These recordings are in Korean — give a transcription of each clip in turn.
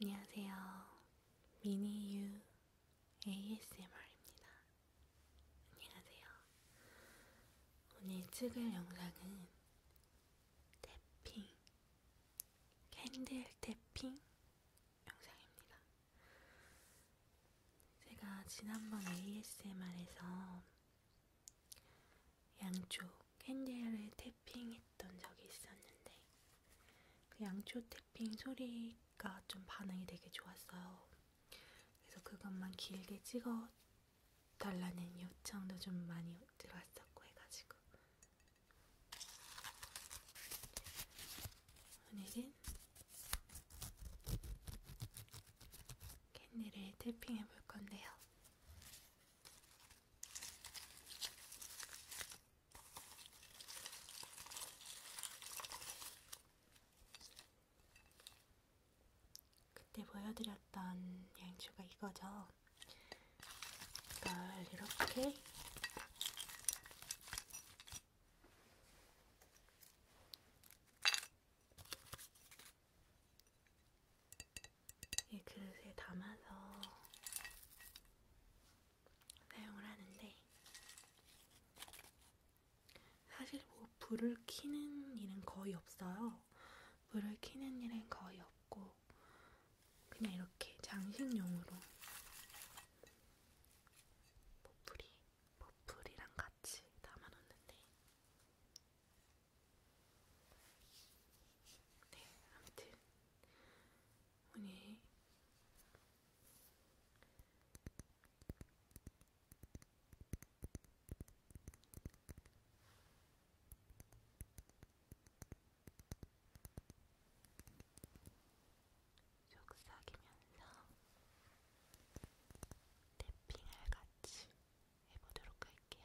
안녕하세요. 미니유 ASMR입니다. 안녕하세요. 오늘 찍을 영상은 태핑, 캔들 태핑 영상입니다. 제가 지난번 ASMR에서 양쪽 캔들을 태 태핑했던 적이 있었는데 그 양초 태핑 소리가 좀 반응이 되게 좋았어요. 그래서 그것만 길게 찍어 달라는 요청도 좀 많이 들어왔었고 해가지고 오늘은 캔디를 태핑해 볼 건데요. 그때 보여드렸던 양초가 이거죠. 이걸 이렇게 이 그릇에 담아서 사용을 하는데 사실 뭐 불을 켜는 일은 거의 없어요. 불을 켜는 일은 거의 없고 그냥 이렇게 장식용으로 버풀이, 버풀이랑 같이 담아놓는데 네, 아무튼 아니 속삭이면서 탭핑을 같이 해보도록 할게요.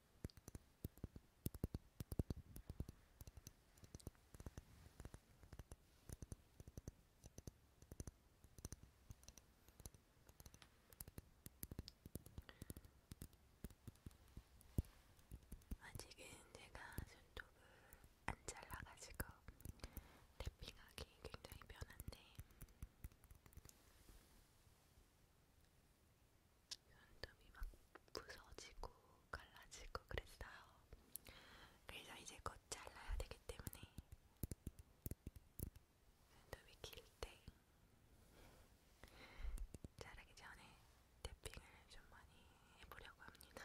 아직은 제가 손톱을 안 잘라가지고 랩핑하기 굉장히 편한데 눈동이 막 부서지고 갈라지고 그랬어요. 그래서 이제 곧 잘라야 되기 때문에 눈동이 길때 자르기 전에 탭핑을 좀 많이 해보려고 합니다.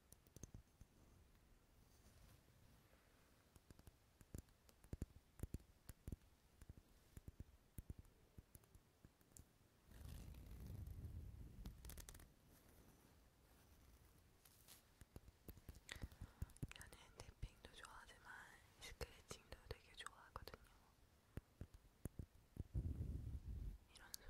저는 탭핑도 좋아하지만 스크래칭도 되게 좋아하거든요. 이런 소리.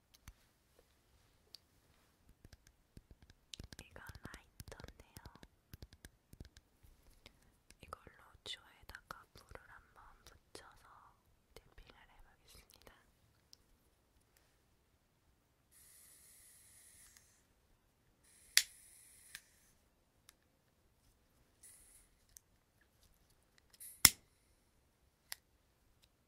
이건 라이터인데요. 이걸로 주에다가 물을 한번 묻혀서 디핑을 해보겠습니다.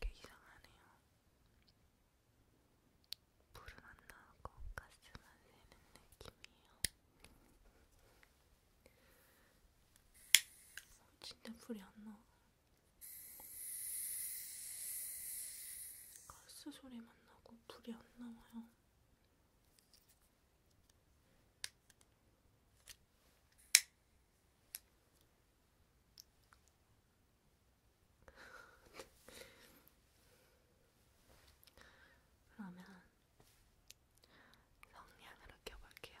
되게 이상하네요. 불은 안 나오고 가스만 새는 느낌이에요. 어, 진짜 불이 안 나와. 가스 소리만 나고 불이 안 나와요. 그러면 성냥으로 껴볼게요.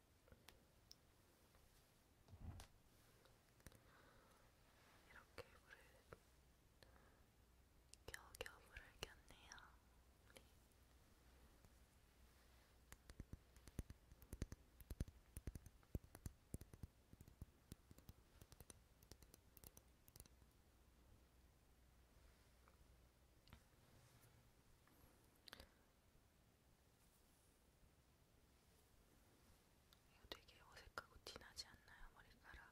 이렇게 물을 겨우겨우 물을 꼈네요. 우리. 이거 되게 어색하고 티나지 않나요? 머리카락.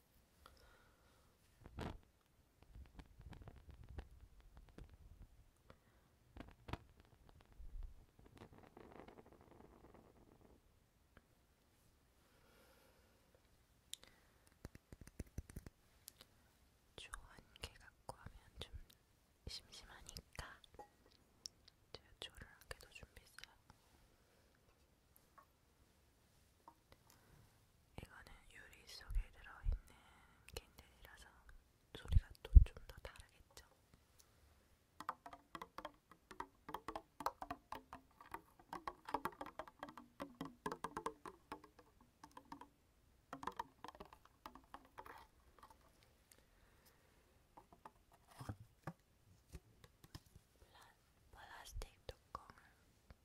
조한개 갖고 하면 좀 심심하니까 제가 조를 한개더 준비했어요. 이거는 유리 속에 들어있는 캔들이라서 소리가 또 좀 더 다르겠죠. 플라스틱 뚜껑을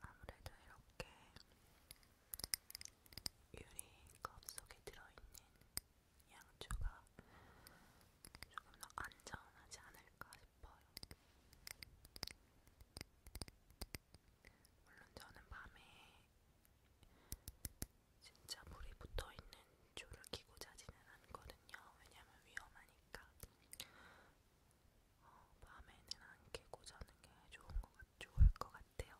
아무래도 이렇게 유리컵 속에 들어있는 양주가 조금 더 안전하지 않을까 싶어요. 물론 저는 밤에 진짜 물이 붙어있는 줄을 끼고 자지는 않거든요. 왜냐면 위험하니까. 어, 밤에는 안 끼고 자는 게 좋은 것 같, 좋을 것 같아요.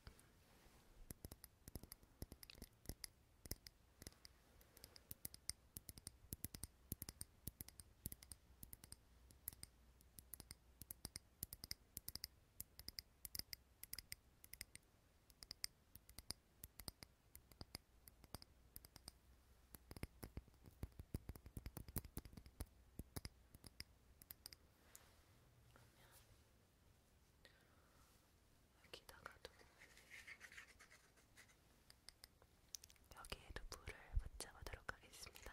여기다가도 여기에도 물을 붙여보도록 하겠습니다.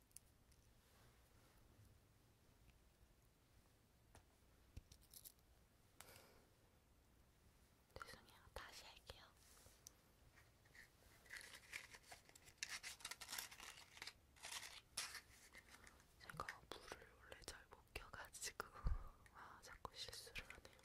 죄송해요. 다시 할게요. 제가 물을 원래 잘 못 껴가지고 아 자꾸 실수를 하네요.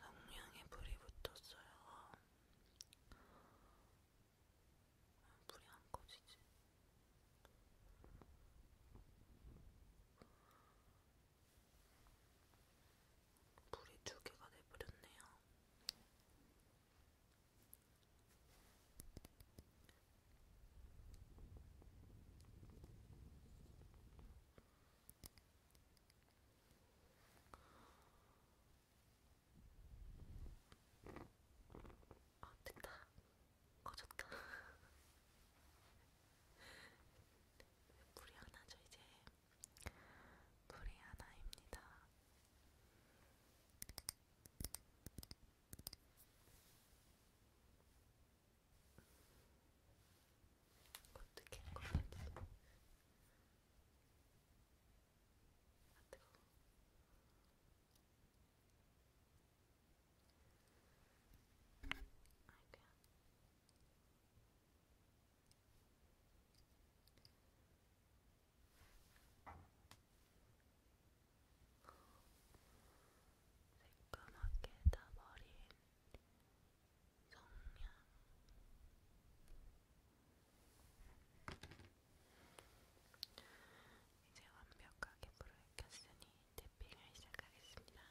악명에 불이 붙었어요. 불이 안 꺼지지. 불이 두 개가 돼버렸네요. 어, 됐다. 꺼졌다. 불이 하나죠, 이제. 불이 하나입니다. 어떻게 꺼내봐도 아 뜨거워 아이고야 새까맣게 다 버린 성냥 이제 완벽하게 불을 켰으니 태핑을 시작하겠습니다.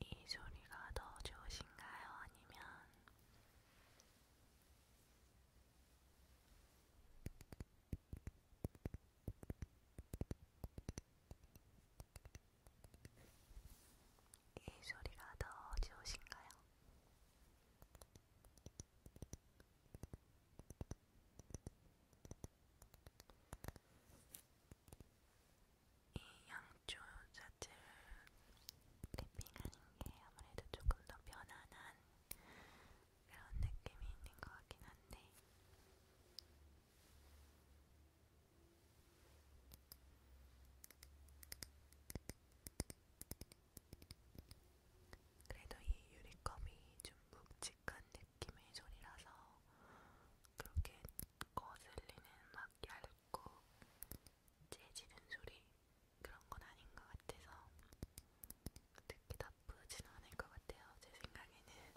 이 소리가 더 좋으신가요? 아니면 이 소리가 더 좋으신가요? 이 양조 자체를 랩핑하는 게 아무래도 조금 더 편안한 그런 느낌이 있는 것 같긴 한데 그래도 이 유리컵이 좀 묵직한 느낌의 소리라서 그렇게 거슬리는 막 얇고 재지는 소리 그런 건 아닌 것 같아서 특히 나쁘진 않을 것 같아요. 제 생각에는.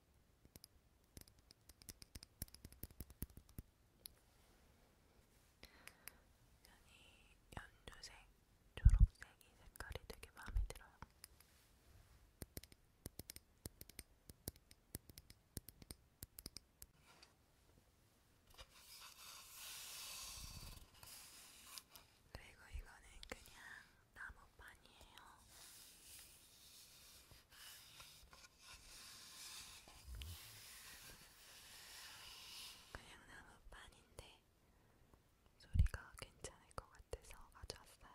연이 연두색, 초록색 이 색깔이 되게 마음에 들어요. 그리고 이거는 그냥 나무판이에요. 그냥 나무판인데 소리가 괜찮을 것 같아서 가져왔어요.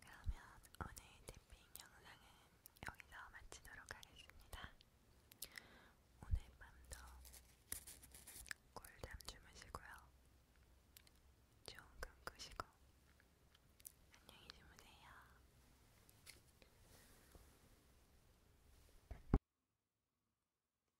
그러면 오늘 탭핑 영상은 여기서 마치도록 하겠습니다. 오늘 밤도 꿀잠 주무시고요. 좋은 꿈 꾸시고 안녕히 주무세요.